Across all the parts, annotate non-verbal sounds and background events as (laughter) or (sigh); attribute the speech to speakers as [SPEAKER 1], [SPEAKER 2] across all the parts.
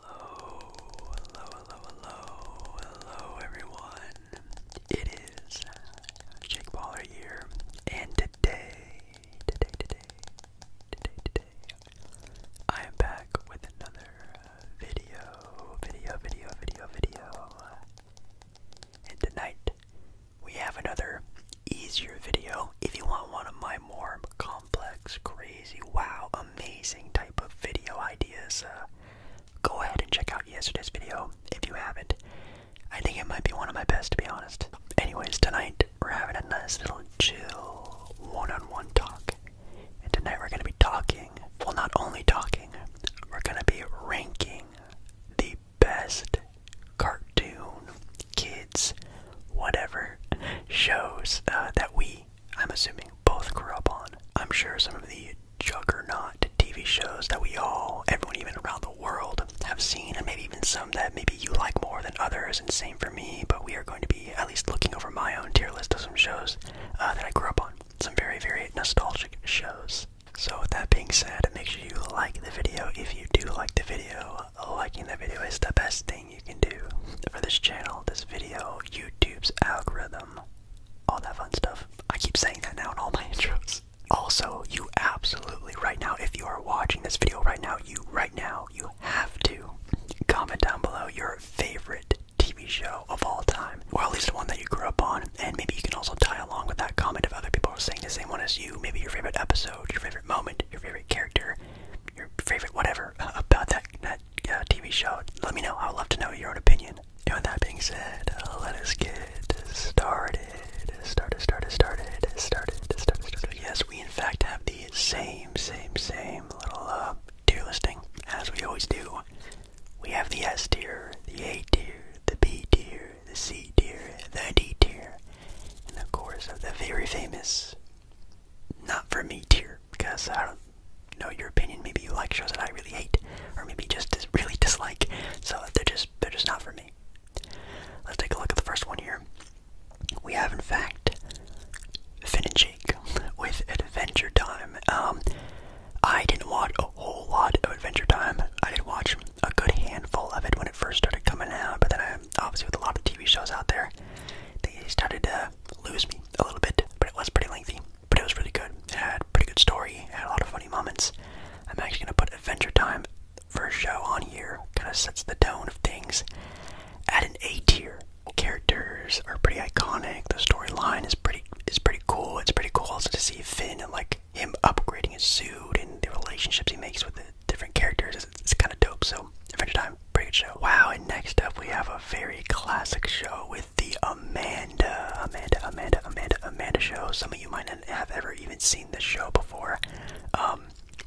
[SPEAKER 1] Hello, hello, hello, hello, hello everyone. It is Jake Baller here, and today, today, today, today, today, I am back with another uh, video, video, video, video, video. And tonight, we have another easier video. If you want one of my more complex, crazy, wow, amazing type of video ideas, uh, go ahead and check out yesterday's video if you haven't. I think it might be one of my best, to be honest. Anyways, tonight we're having a nice little chill one on one talk. And tonight we're going to be talking, well, not only talking, we're going to be ranking the best cartoon, kids, whatever (laughs) shows uh, that we I'm assuming, both grew up on. I'm sure some of the juggernaut TV shows that we all, everyone even around the world, have seen, and maybe even some that maybe you like more than others, and same for me, but we are going to be at least looking over my own tier list of some shows uh, that I grew up on. Some very, very nostalgic shows. So with that being said, make sure you like the video if you do like the video. Liking the video is the best thing you can do for this channel, this video, YouTube's algorithm, all that fun stuff. I keep saying that now in all my (laughs) intros. Also, you absolutely right now, if you are watching this video right now, you right now, you have to comment down below your favorite TV show of all time, or at least one that you grew up on, and maybe you can also tie along with that comment if other people are saying the same one as you, maybe your favorite episode, your favorite moment, your favorite character, your favorite whatever (laughs) about that uh, TV show, let me know. I would love to know your own opinion. And with that being said, uh, let us get started. Started, started, started, started, started, started. Yes, we in fact have the same, same, same little uh, tier listing as we always do. We have the S tier, the A tier, the B tier, the C tier, the D tier, and of course uh, the very famous not for me tier because I don't know your opinion. Maybe you like shows that I really hate, or maybe just really dislike. So they're just they're just not for me. Let's take a look at the first one here. We have, in fact, Finn and Jake (laughs) with Adventure Time. Um, I didn't watch a whole lot of Adventure Time. I did watch a good handful of it when it first started coming out, but then obviously with a lot of TV shows out there, they started to. Uh, lose me a little bit, but it was pretty lengthy. But it was really good. It had a pretty good story. It had a lot of funny moments. I'm actually gonna put Adventure Time first show on here. Kind of sets the tone of things. At an A tier, characters are pretty iconic. The storyline is pretty is pretty cool. It's pretty cool also to see Finn and like him upgrading his suit and the relationships he makes with the different characters. It's, kind of dope. So, Adventure Time, pretty good show. Wow, and next up we have a very classic show with the Amanda, Amanda, Amanda, Amanda, Amanda show. Some of you might not have ever even seen this show before. Um,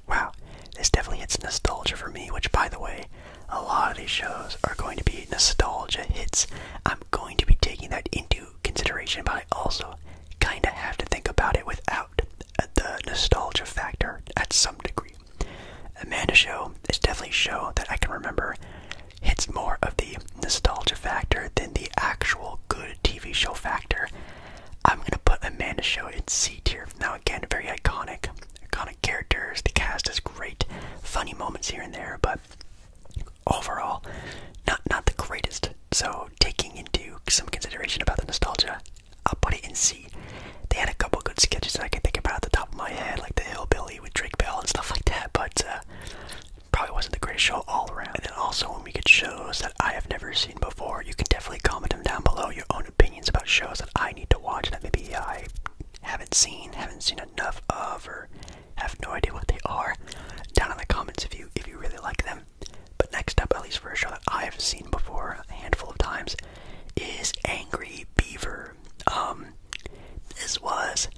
[SPEAKER 1] wow, this definitely hits nostalgia for me. Which, by the way, a lot of these shows are going to be nostalgia hits. I'm going to be taking that into consideration, but I also kind of have to think about it without the nostalgia factor at some degree. Amanda Show is definitely a show that I can remember It's more of the nostalgia factor than the actual good TV show factor. I'm gonna put Amanda Show in C tier. Now again, very iconic, iconic characters. The cast is great, funny moments here and there, but overall, not not the greatest. So taking into some consideration about the nostalgia, I'll put it in C. They had a couple good sketches that I can think about at the top of my head, like the Hillbilly with Drake Bell and stuff like that, but uh, probably wasn't the greatest show all around. And then also when we get shows that I have never seen before, you can definitely comment them down below, your own opinions about shows that I need to watch that maybe I haven't seen, haven't seen enough of, or have no idea what they are, down in the comments if you if you really like them. But next up, at least for a show that I have seen before a handful of times, is Angry Beaver. Um, this was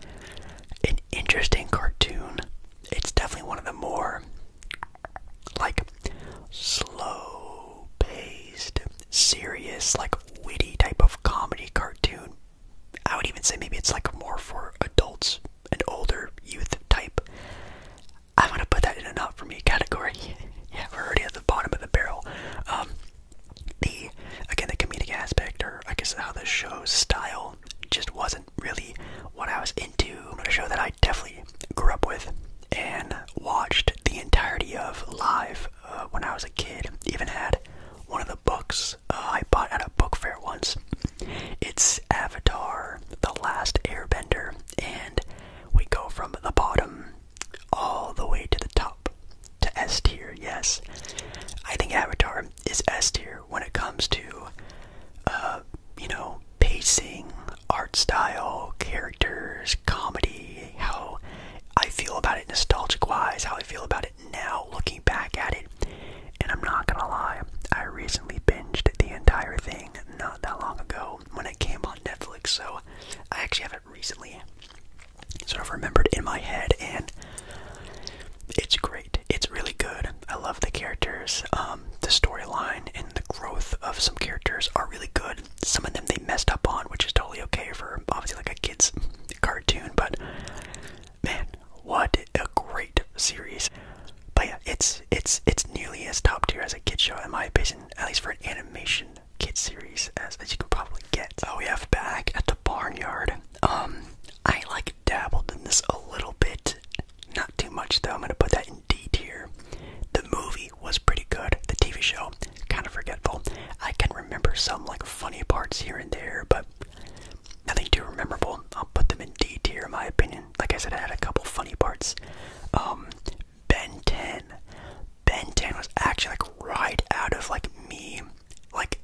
[SPEAKER 1] an interesting cartoon. It's definitely one of the more like slow paced, serious, like witty type of comedy cartoon. I would even say maybe it's like more for adults and older youth type. I'm gonna put that in a not for me category. (laughs) yeah, we're already at the bottom of the barrel. Um, the again the comedic aspect, or I guess how the show's style, just wasn't really what I was into. A show that I definitely grew up with and watched the entirety of live uh, when I was a kid. Even had one of the books uh, I bought at a book fair once. It's Avatar: The Last Airbender, and we go from the bottom all the way to the top, to S tier, yes. I think Avatar is S tier when it comes to, uh, you know, pacing, art style, characters, comedy, how I feel about it nostalgic wise, how I feel about it now looking back at it. And I'm not gonna lie, I recently binged the entire thing not that long ago when it came on Netflix, so I actually have not recently sort of remembered in my head, and it's great. It's really good. I love the characters. Um, the storyline and the growth of some characters are really good. Some of them they messed up on, which is totally okay for obviously like a kid's cartoon, but man, what a great series. But yeah, it's it's it's nearly as top tier as a kid show in my opinion at least for an animation kid series, as, as you can probably get. Oh, we have back at the barnyard. Um, I like dabbled in this a little bit, not too much though. I'm gonna put that in D tier. The movie was pretty good. The TV show, kind of forgetful. I can remember some like funny parts here and there, but nothing too memorable. I'll put them in D tier, in my opinion. Like I said, I had a couple funny parts. Um, Ben 10. Ben 10 was actually like right out of like me, like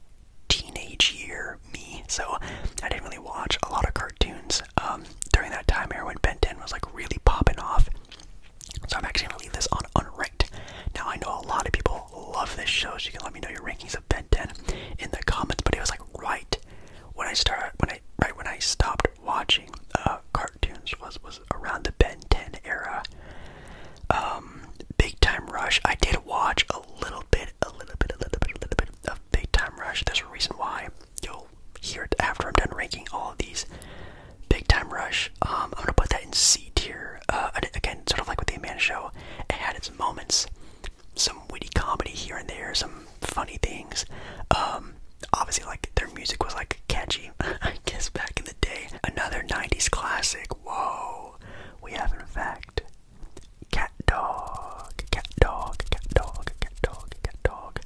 [SPEAKER 1] teenage year me. So I didn't really watch a lot of cartoons um, during that time era when Ben 10 was like really popping off. So I'm actually gonna leave this on unranked. Now I know a lot of people love this show, so you can let me know your rankings of Ben 10 in the comments. But it was like right when I started, when I right when I stopped watching uh, cartoons was was around the Ben 10 era. Um, Big Time Rush. I did watch a little bit, a little bit, a little bit, a little bit of Big Time Rush. There's a reason why you'll hear it after I'm done ranking all of these. Big Time Rush. Um, I'm gonna put that in C tier. Uh, again, sort of like with the Amanda Show, it had its moments, some witty comedy here and there, some funny things. Um, obviously, like their music was like catchy, (laughs) I guess, back in the day. Another 90s classic. Whoa, we have in fact Cat Dog, Cat Dog, Cat Dog, Cat Dog, Cat Dog.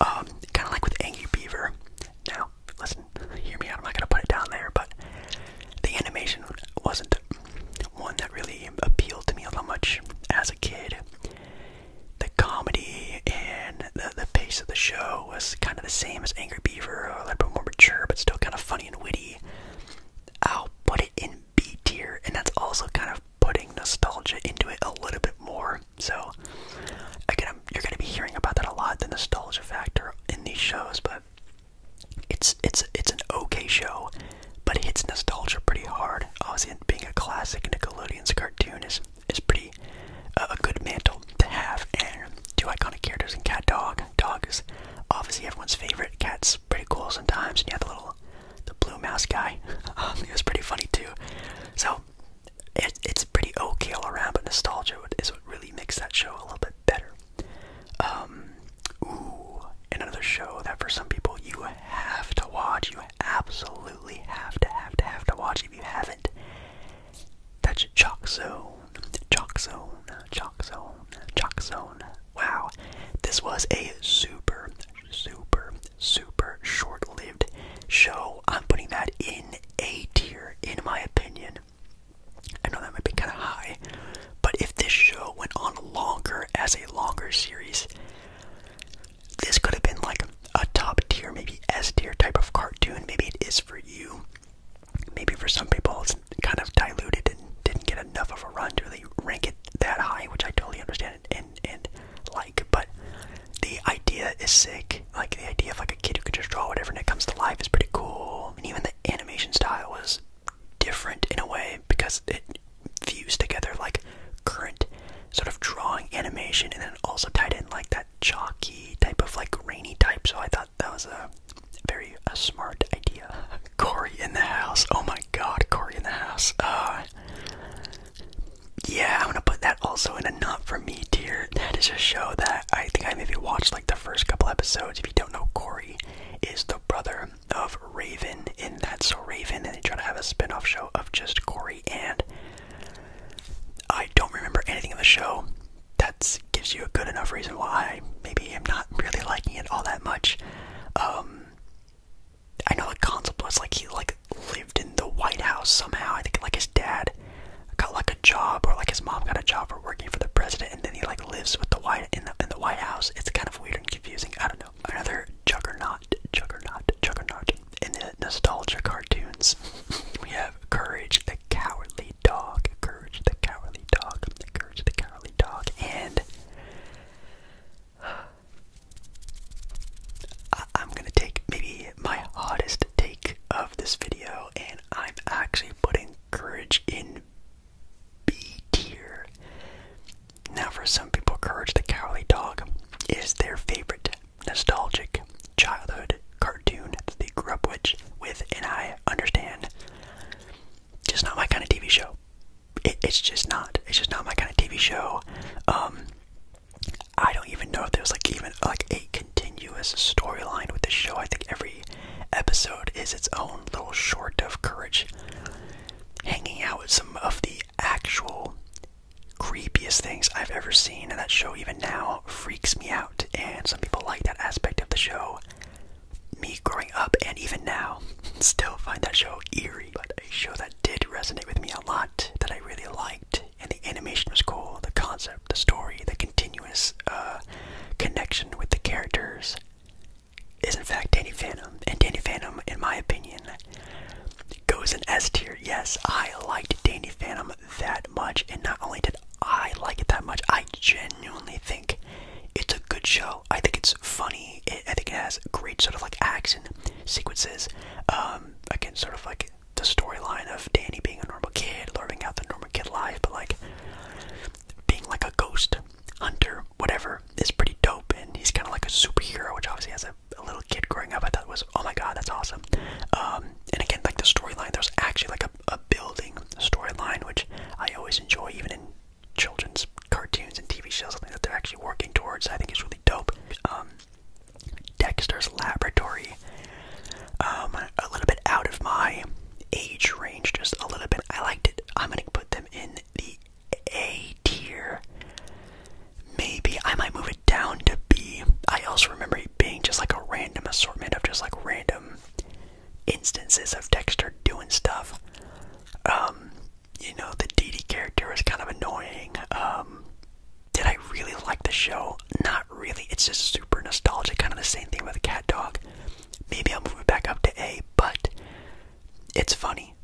[SPEAKER 1] Um, kind of like with Angry Beaver. Now, listen, hear me out. I'm not gonna put it down there, but the animation wasn't one that really appealed to me all that much as a kid the comedy and the, pace of the show was kind of the same as Angry Beaver, a little bit more mature, but still kind of funny and witty. I'll put it in B tier, and that's also kind of putting nostalgia into it a little bit more. So, again, I'm, you're going to be hearing about that a lot, the nostalgia factor in these shows, but it's it's it's an okay show, but hits nostalgia pretty hard. Obviously, being a classic Nickelodeon's cartoon is is pretty uh, a good mantle to have. And two iconic characters in Cat Dog. Dog is obviously everyone's favorite. Cat's pretty cool sometimes. And you have the little the blue mouse guy. (laughs) Um, it was pretty funny too. So it, it's pretty okay all around, but nostalgia is what really makes that show a little bit better. Um, ooh, another show that for some people you have to watch, you absolutely have to have to have to watch if you haven't. That's Chalk Zone, Chalk Zone, Chalk Zone, Chalk Zone. Wow, this was a super, super, super short-lived show. I'm putting that in A tier, in my opinion. I know that might be kind of high, but if this show went on longer as a longer series, this could have been like a top tier, maybe S tier type of cartoon. Maybe it is for you. Maybe for some people it's kind of diluted and didn't get enough of a run to really rank it that high, which I totally understand and and like. But the idea is sick. Like the idea of like a kid who can just draw whatever and it comes to life is pretty cool. And even the animation style was different in a way because it fused together like current sort of drawing animation and then also tied in like that chalky type of like rainy type. So I thought that was a very a smart idea. (laughs) Corey in the house. Oh my god, Corey in the house. Uh, yeah, I'm gonna put that also in a not for me dear. That is a show that I think I maybe watched like the first couple episodes. If you don't know, Corey is the brother of Raven in that. So Raven, and they try to have a spin off show of just Corey and I don't remember anything of the show. That gives you a good enough reason why maybe I am not really liking it all that much. Um, I know the concept was like he like lived in the White House somehow. I think like his dad got like a job, or like his mom got a job for working for the president, and then he like lives with the White in the in the White House. It's kind of weird and confusing. I don't know. Another juggernaut, juggernaut, juggernaut. In the nostalgia cartoons, (laughs) we have Courage the Cowardly Dog, Courage the Cowardly Dog, Courage the Cowardly Dog, and I am gonna take maybe my hardest take of this video, and I'm actually putting Courage in B now, for some people, Courage the Cowardly Dog is their favorite nostalgic childhood cartoon that they grew up with, and I understand. Just not my kind of TV show. it's just not. It's just not my kind of TV show. Um, I don't even know if there was like even like a continuous storyline with the show. I think every episode is its own little short of Courage hanging out with some of the actual creepiest things I've ever seen, and that show even now freaks me out. And some people like that aspect of the show. Me growing up and even now, (laughs) still find that show eerie, but a show that did resonate with me a lot, that I really liked, and the animation was cool, the concept, the story, the continuous uh, connection with the characters is in fact Danny Phantom, and Danny Phantom, in my opinion, Goes in S tier. Yes, I liked Danny Phantom that much, and not only did I like it that much, I genuinely think it's a good show. I think it's funny. I think it has great sort of like action sequences. Um, again, sort of like the storyline of Danny being a normal kid, learning out the normal kid life, but like being like a ghost hunter, whatever, is pretty dope. And he's kind of like a superhero, which obviously has a a little kid growing up, I thought was oh my god, that's awesome. Um, and again, like the storyline, there's actually like a, a building storyline, which I always enjoy, even in children's cartoons and TV shows. Something that they're actually working towards, I think is really dope. Um, Dexter's Laboratory, um, a little bit out of my age range, just a little bit. I liked it. I'm gonna put them in the a tier. Maybe I might move it down to B. I also remember it being just like a random assortment of just like random instances of Dexter doing stuff. Um, you know, the DD character is kind of annoying. Um, did I really like the show? Not really. It's just super nostalgic, kind of the same thing with Cat Dog. Maybe I'll move it back up to A, but it's funny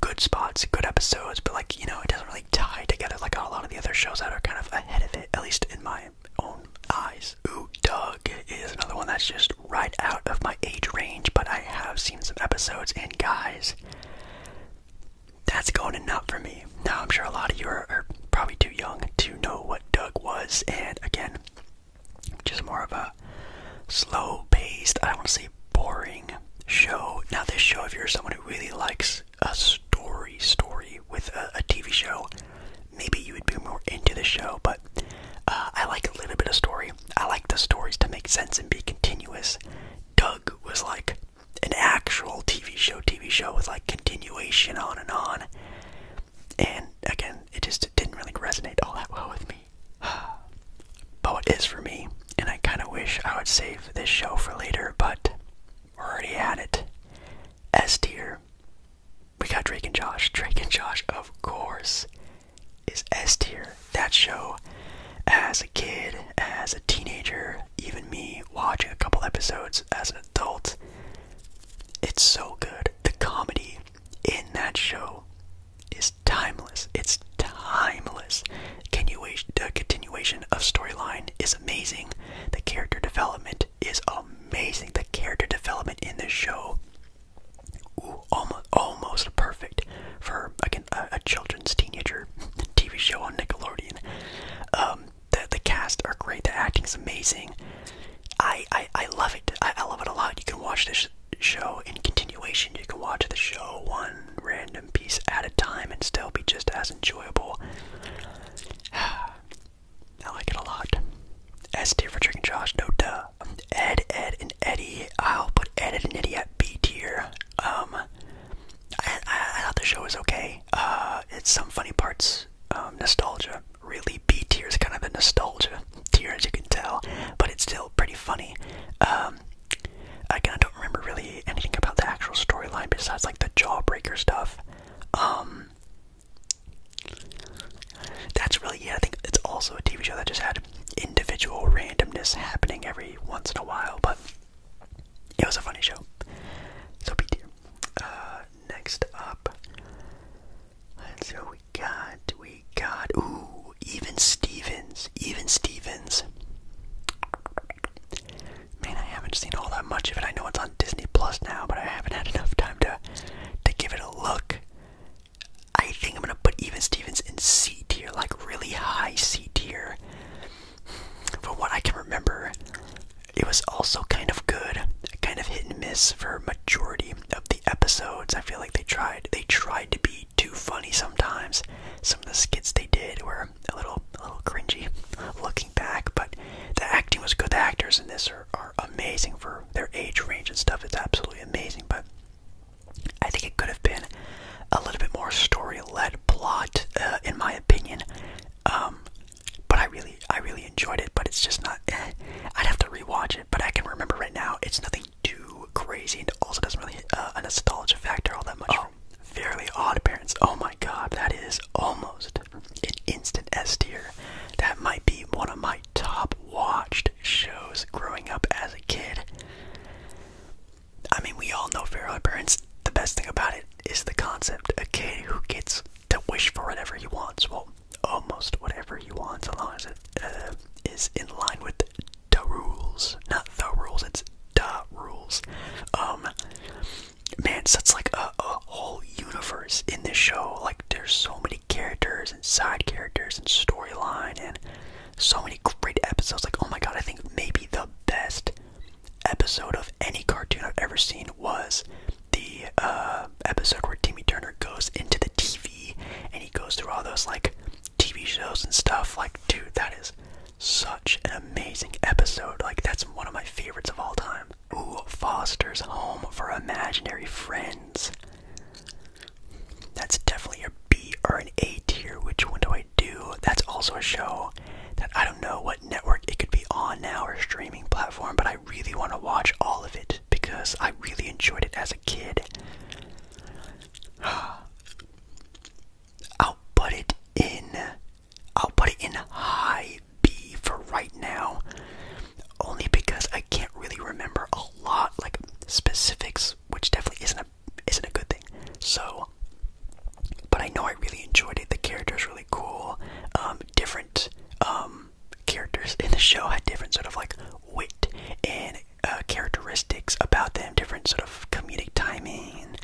[SPEAKER 1] good spots, good episodes, but like, you know, it doesn't really tie together like a lot of the other shows that are kind of ahead of it, at least in my own eyes. Ooh, Doug is another one that's just right out of my age range, but I have seen some episodes, and guys, that's going enough for me. Now, I'm sure a lot of you are probably too young to know what Doug was, and again, just more of a slow paced, I don't want to say boring show. Now, this show, if you're someone who really likes a story, story with a, TV show, maybe you would be more into the show, but uh, I like a little bit of story. I like the stories to make sense and be continuous. Doug was like an actual TV show, TV show with like continuation on and on. And again, it just didn't really resonate all that well with me. (sighs) but it is for me, and I kind of wish I would save this show for later, but we're already at it. S tier. We got Drake and Josh. Drake and Josh, of course, is S tier. That show, as a kid, as a teenager, even me watching a couple episodes as an adult, it's so good. The comedy in that show it's timeless. It's timeless. continuation of storyline is amazing. The character development is amazing. The character development in this show, ooh, almost, perfect for a, children's teenager (laughs) TV show on Nickelodeon. Um, the the cast are great. The acting is amazing. I I, I love it. I love it a lot. You can watch this show in continuation. You can watch the show one random piece at a time and still be just as enjoyable. (sighs) I like it a lot. S tier for Trick and Josh, no duh. Ed, Ed, and Eddie. I'll put Ed, and Eddie at B tier. Um, I, thought the show was okay. Uh, it's some funny parts. Um, nostalgia. Really, B tier is kind of a nostalgia tier, as you can tell, but it's still pretty funny. Um, Again, I don't remember really anything about the actual storyline besides like the jawbreaker stuff. Um, that's really yeah. I think it's also a TV show that just had individual randomness happening every once in a while, but it was a funny show. So be dear. Uh, next up, let's see what we got. We we Ooh, even Stevens. Even Stevens. Man, I haven't seen all that much of it. I know it's on Disney Plus now, but I haven't had enough time to to give it a look. I think I'm gonna put Even Stevens in C tier, like really high C tier. From what I can remember, it was also kind of good, kind of hit and miss for majority of the episodes. I feel like they tried they tried to be too funny sometimes. Some of the skits they did were a little, a little cringy, looking back. But the acting was good. The actors in this are, amazing for their age range and stuff. It's absolutely amazing. But I think it could have been a little bit more story-led plot, uh, in my opinion. Um, but I really, I really enjoyed it. But it's just not. (laughs) I'd have to rewatch it. But I can remember right now. It's nothing too crazy and also doesn't really uh, a nostalgia factor all that much. Oh, fairly odd Parents*! Oh my god, that is almost an instant S tier. That might be one of my top watched shows growing up as a kid. I mean, we all know Fairly Odd Parents. The best thing about it is the concept. A kid who gets to wish for whatever he wants. Well, almost whatever he wants, as long as it uh, is in line with the rules, not the rules. It's the rules. Um, man, so it's like a, a whole universe in this show. Like there's so many characters and side characters and storyline and so many great episodes. Like oh my god, I think maybe the best episode of any cartoon I've ever seen was the uh, episode where Timmy Turner goes into the TV and he goes through all those like TV shows and stuff. Like, dude, that is such an amazing episode. Like, that's one of my favorites of all time. Ooh, Foster's Home for Imaginary Friends. That's definitely a B or an A tier. Which one do I do? That's also a show that I don't know what network it could be on now or streaming platform, but I really want to watch all of it because I really enjoyed it as a kid. (gasps) I'll put it in. I'll put it in high B for right now, only because I can't really remember a lot like specifics, which definitely isn't a isn't a good thing. So, but I know I really enjoyed it. The characters really cool. Um, different um, characters in the show had different sort of like wit and uh, characteristics about them, different sort of comedic timing.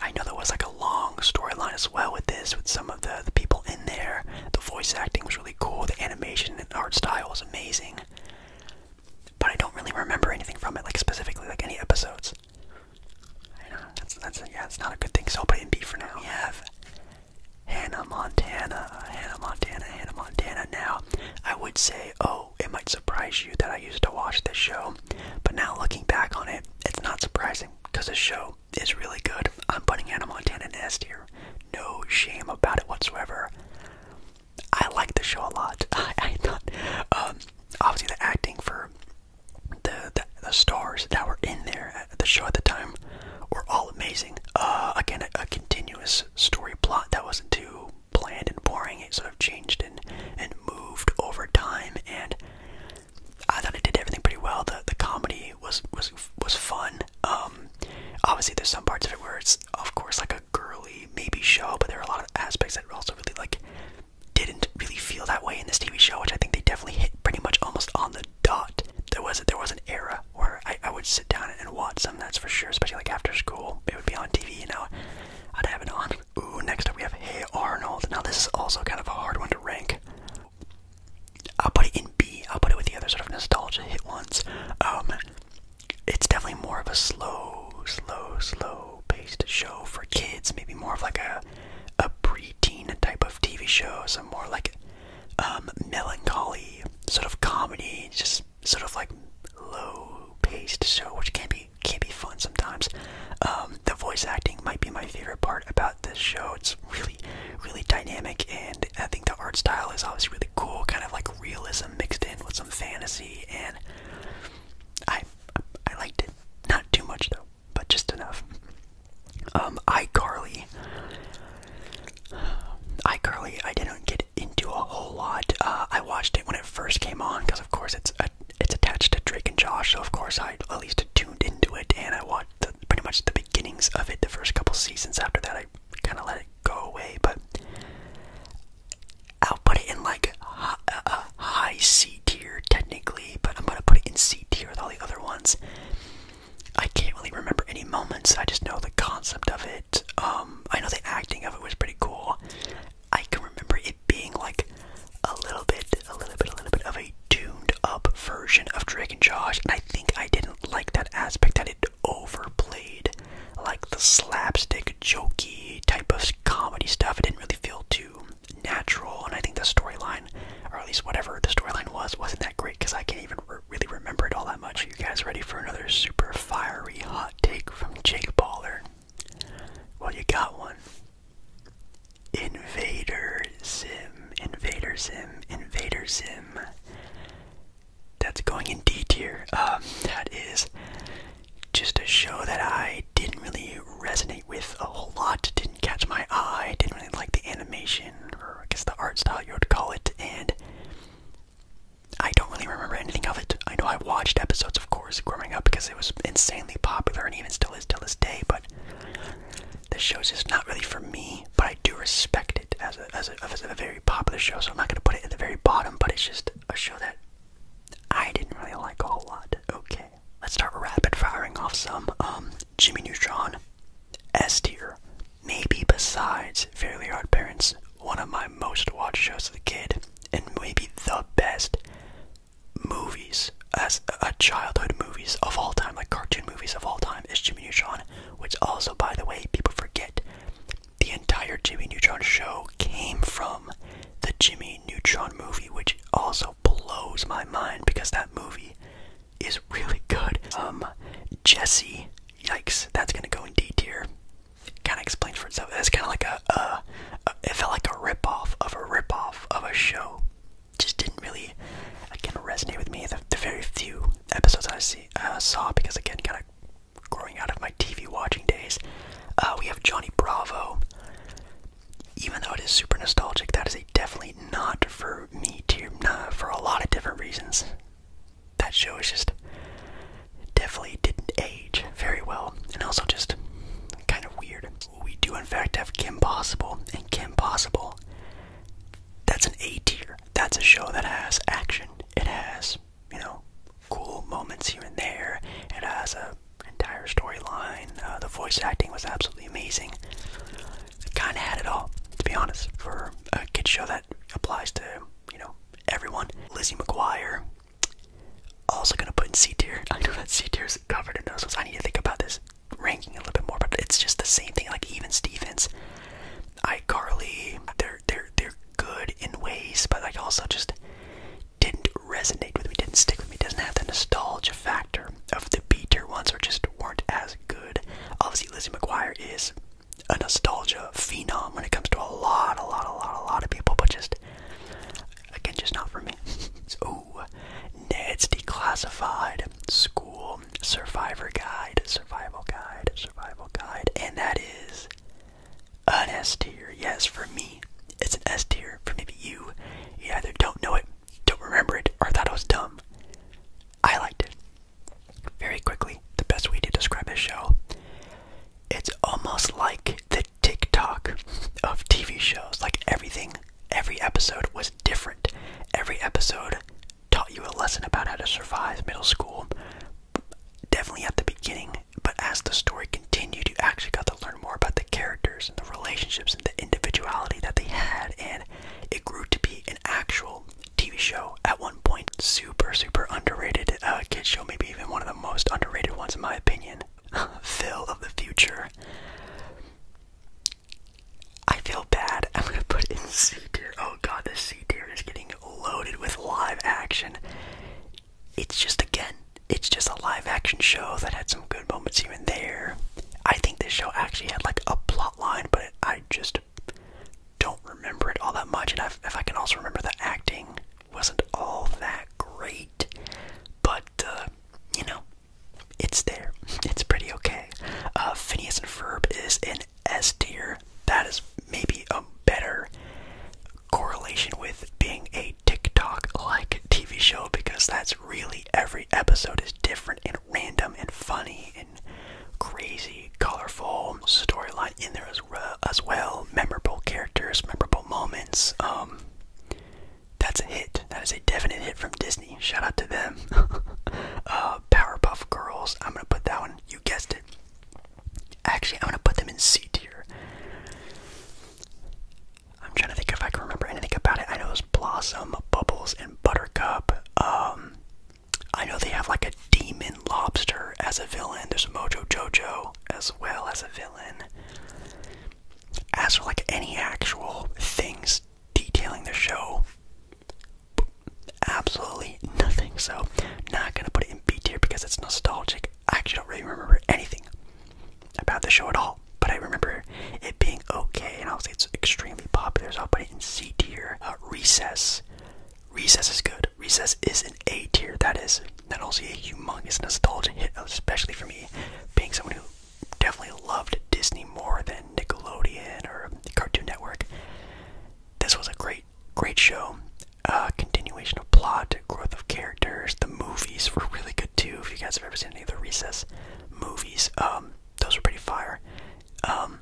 [SPEAKER 1] I know there was like a long storyline as well with this, with some of the, the people in there. The voice acting was really cool, the animation and art style was amazing. But I don't really remember anything from it, like specifically, like any episodes. I know, that's, that's, yeah, it's not a good thing, so I'll put it in B for now. We have Hannah Montana. Hannah Montana, Hannah Montana. Now, I would say, oh, it might surprise you that I used to watch this show, but now looking back on it, it's not surprising because the show is really good. I'm putting Hannah Montana in S here, No shame about it whatsoever. I like the show a lot. (laughs) I, um, obviously the acting for the, the stars that were in there at the show at the time were all amazing. Uh, again, a continuous story plot that wasn't too planned and boring. It sort of changed and and moved over time, and I thought it did everything pretty well. the The comedy was was was fun. Um, obviously, there's some parts of it where it's of course like a girly maybe show, but there are a lot of aspects that also really like didn't really feel that way in this TV show, which I think they definitely hit pretty much almost on the dot. There was there was an era era where I, I would sit down and watch some. That's for sure, especially like after school. It would be on TV, you know. I'd have it on. Ooh, next up we have Hey Arnold. Now this is also kind of a hard one to rank. I'll put it in B. I'll put it with the other sort of nostalgia hit ones. Um, it's definitely more of a slow, slow, slow-paced show for kids. Maybe more of like a a preteen type of TV show. Some more like um, melancholy sort of comedy sort of like low paced show, which can be can be fun sometimes. Um, the voice acting might be my favorite part about this show. It's really really dynamic, and I think the art style is obviously really cool, kind of like realism mixed in with some fantasy, and I I liked it. Not too much though, but just enough. Um, iCarly. iCarly, I didn't get into a whole lot. Uh, I watched it when it first came on because, of course, it's it's attached to Drake and Josh, so of course I at least tuned into it and I watched pretty much the beginnings of it. The first couple seasons. After that, I kind of let it go away, but I'll put it in like a uh, high C tier technically, but I'm gonna put it in C tier with all the other ones I can't really remember any moments. I just know the concept of it. Um, I know the acting of it was pretty cool. I can remember it being like a little bit, a little bit, a little bit of a tuned up version of Drake and Josh, and I think I didn't like that aspect that it overplayed, like the slapstick, jokey type of comedy stuff. It didn't really feel too natural, and I think the storyline, or at least whatever the storyline was, wasn't that great because I can't even really remember it all that much. you guys ready for another super fiery hot take from Jake Baller? Well, you got one. Invader Sim, Invader Sim, Invader Sim. That's going in D tier. Um, that is just a show that I didn't really resonate with a whole lot. Didn't catch my eye. Didn't really like the animation, or I guess the art style you would call it. And I don't really remember anything of it. I know I watched episodes, of course, growing up because it was insanely popular and even still is till this day. But this show is just not really for me. But I do respect it as a as a, very popular show, so I'm not gonna put it at the very bottom. But it's just a show that I didn't really like a whole lot. Okay, let's start rapid firing off some um, Jimmy Neutron S tier. Maybe besides Fairly Odd Parents, one of my most watched shows as a kid, and maybe the best movies as a childhood movies of all time, like cartoon movies of all time, is Jimmy Neutron, which also, by the way, people forget the entire Jimmy Neutron show came from the Jimmy Neutron movie, which also blows my mind because that movie is really good. Um, Jesse, yikes, that's gonna go in D tier. Kind of explains for itself. That's kind of like a, uh, it felt like a ripoff of a ripoff of a show. Just didn't really, again, resonate with me. The, very few episodes I see uh, saw because again, kind of growing out of my TV watching days. Uh, we have Johnny Bravo. Even though it is super nostalgic, that is definitely not for me tier, nah, for a lot of different reasons that show is just definitely didn't age very well, and also just kind of weird. We do in fact have Kim Possible, and Kim Possible, that's an A tier. That's a show that has action. It has, you know, cool moments here and there. It has an entire storyline. Uh, the voice acting was absolutely amazing. It kind of had it all, to be honest, for a kid show that applies to, you know, everyone. Lizzie McGuire, also going to put in C tier. (laughs) I know that C tier is covered in those ones. I need to think about this ranking a little bit more, but it's just the same thing. Like, even Stevens, iCarly, they're, they're, they're good in ways, but like also just didn't resonate with me, didn't stick with me, doesn't have the nostalgia factor of the B tier ones or just weren't as good. Obviously, Lizzie McGuire is a nostalgia phenom when it comes to a lot, a lot, a lot, a lot of people, but just again, just not for me. (laughs) so, Ned's Declassified School Survivor Guide, Survival Guide, Survival Guide, and that is an S tier. Yes, for me, it's an S tier. For maybe you, you either don't know it, don't remember it, or thought it was dumb. I liked it. Very quickly, the best way to describe this show. It's almost like the TikTok of TV shows. Like everything, every episode was different. Every episode taught you a lesson about how to survive middle school. Definitely at the beginning, but as the story continued, you actually got to learn more about the characters and the relationships and the individuality that they had, and it grew to be an actual TV show at one point, super, super underrated uh, kids show, maybe even one of the most underrated ones in my opinion. (laughs) Phil of the Future. I feel bad. (laughs) I'm gonna put it in C tier. Oh god, this C tier is getting loaded with live action. It's just again, it's just a live action show that had some good moments even there. I think this show actually had like a plot line, but I just don't remember it all that much, and i if I can also remember the acting wasn't all that great, but uh, you know, it's there. (laughs) It's pretty okay. Uh, Phineas and Ferb is an S tier. That is maybe a better correlation with being a TikTok-like TV show because that's really every episode is different and random and funny crazy, colorful storyline in there as, well. Memorable characters, memorable moments. Um, that's a hit. That is a definite hit from Disney. Shout out to them. (laughs) Uh, Powerpuff Girls. I'm gonna put that one. You guessed it. Actually, I'm gonna put them in C tier. I'm trying to think if I can remember anything about it. I know it Blossom, Bubbles, and Buttercup. Um, I know they have like a demon lobster as a villain. There's Mojo Jojo as well as a villain. As for like any actual things detailing the show, absolutely nothing. So, not gonna put it in B tier because it's nostalgic. I actually don't really remember anything about the show at all, but I remember it being okay, and I'll say it's extremely popular, so I'll put it in C tier. Uh, recess. Recess is good. Recess is an A tier. That is not only a humongous nostalgia hit, especially for me, being someone who definitely loved Disney more than Nickelodeon or Cartoon Network. This was a great, great show. Uh, continuation of plot, growth of characters. The movies were really good too. If you guys have ever seen any of the Recess movies, um, those were pretty fire. Um,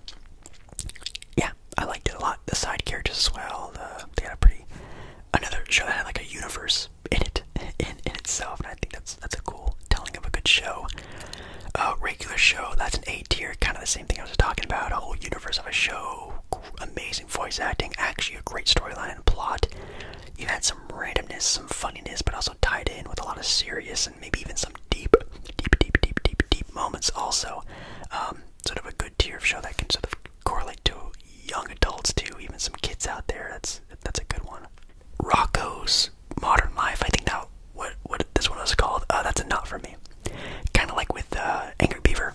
[SPEAKER 1] yeah, I liked it a lot. The side characters as well. they had a pretty another show that had like a universe in it (laughs) in in itself, and I think that's that's a cool telling of a good show. Uh, regular show that's an A tier, kind of the same thing I was talking about. A whole universe of a show, amazing voice acting, actually a great storyline and plot. You had some randomness, some funniness, but also also tied in with a lot of serious and maybe even some deep, deep, deep, deep, deep, deep moments. Also, um, sort of a good tier of show that can sort of correlate to young adults too, even some kids out there. That's that's a good one. Rocco's Modern Life. I think that what what this one was called. Uh, that's a not for me. Kind of like with uh, Angry Beaver.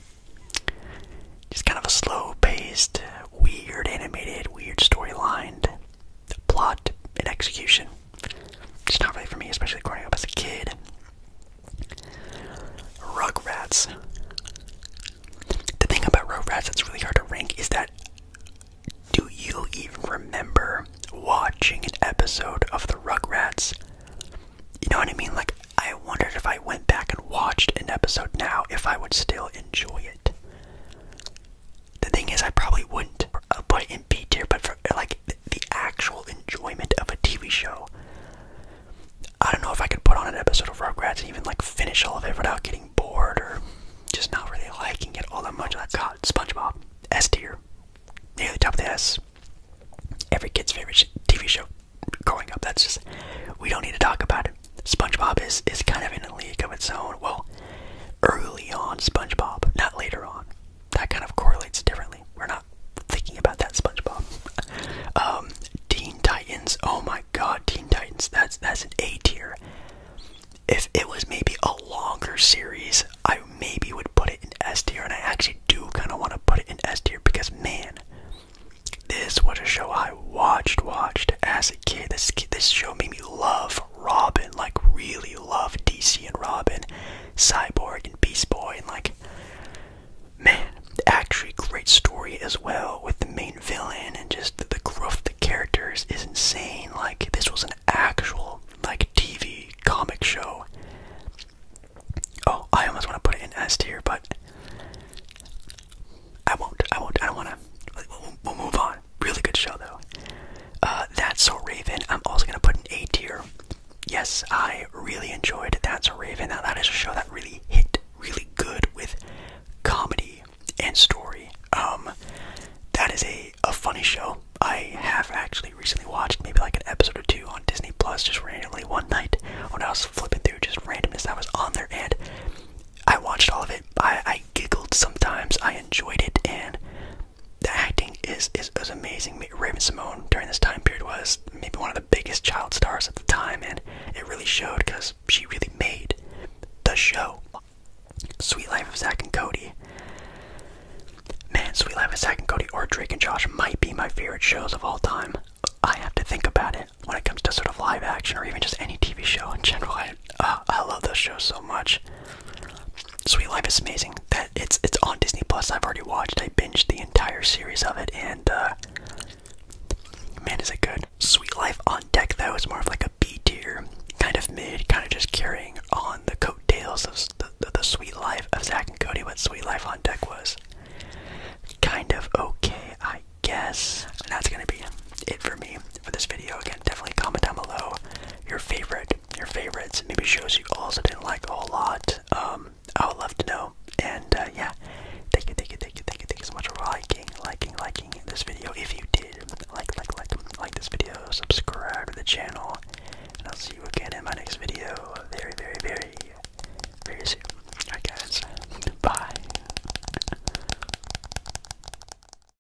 [SPEAKER 1] Just kind of a slow-paced, weird animated, weird storyline plot shot execution. It's not really for me, especially growing up as a kid. Rugrats. The thing about Rugrats that's really hard to rank is that do you even remember watching an episode of the Rugrats? You know what I mean? Like, I wondered if I went back and watched an episode now, if I would still enjoy it. The thing is, I probably wouldn't uh, put it in B tier, but for like the actual enjoyment of a TV show, I don't know if I could put on an episode of Rugrats and even like finish all of it without getting bored or just not really liking it all that much. Like God, SpongeBob, S tier, near the top of the S. Every kid's favorite TV show growing up. That's just we don't need to talk about it. SpongeBob is is kind of in a league of its own. Well, early on SpongeBob, not later on. That kind of correlates differently. We're not thinking about that SpongeBob. (laughs) Um, Teen Titans. Oh my God, Teen Titans. That's that's an A tier. If it was maybe a longer series, I maybe would put it in S tier, and I actually do kind of want to put it in S tier because man, this was a show I watched, watched as a kid. This this show made me love Robin, like really love DC and Robin, Cyborg and Beast Boy, and like man, actually great story as well with the main villain and just the growth of the characters is insane. Like this was an actual like TV comic show. Oh, I almost want to put it in S tier, but I won't. I won't. I don't want to. We'll move on. Really good show though. Uh, That's So Raven. I'm also gonna put an A tier. Yes, I really enjoyed That's a Raven. Now that is a show that really hit really good with comedy and story. Um, that is a a funny show. I have actually recently watched maybe like an episode or two on Disney Plus just randomly one night when I was flipping through just randomness that was on there and I watched all of it. I giggled sometimes. I enjoyed it, and the acting is, is amazing. Raven Simone during this time period was maybe one of the biggest child stars at the time, and it really showed because she really made the show. Sweet Life of Zach and Cody. Man, Sweet Life of Zach and Cody or Drake and Josh might be my favorite shows of all time. I have to think about it when it comes to sort of live action or even just any TV show in general. Uh, I love this show so much. Sweet Life is amazing. That it's it's on Disney Plus. I've already watched. I binged the entire series of it, and uh, man, is it good. Sweet Life on Deck though is more of like a B tier, kind of mid, kind of just carrying on the coattails of the, the, the Sweet Life of Zach and Cody. What Sweet Life on Deck was kind of okay, I guess. And that's gonna be it for me for this video. Again, definitely comment down below your favorite, your favorites, maybe shows you also didn't like a whole lot. Um, I would love to know. And uh, yeah, thank you, thank you, thank you, thank you, thank you so much for liking, liking, liking this video. If you did, like, like, like, like this video, subscribe to the channel, and I'll see you again in my next video very, very, very, very soon. Alright guys, (laughs) bye.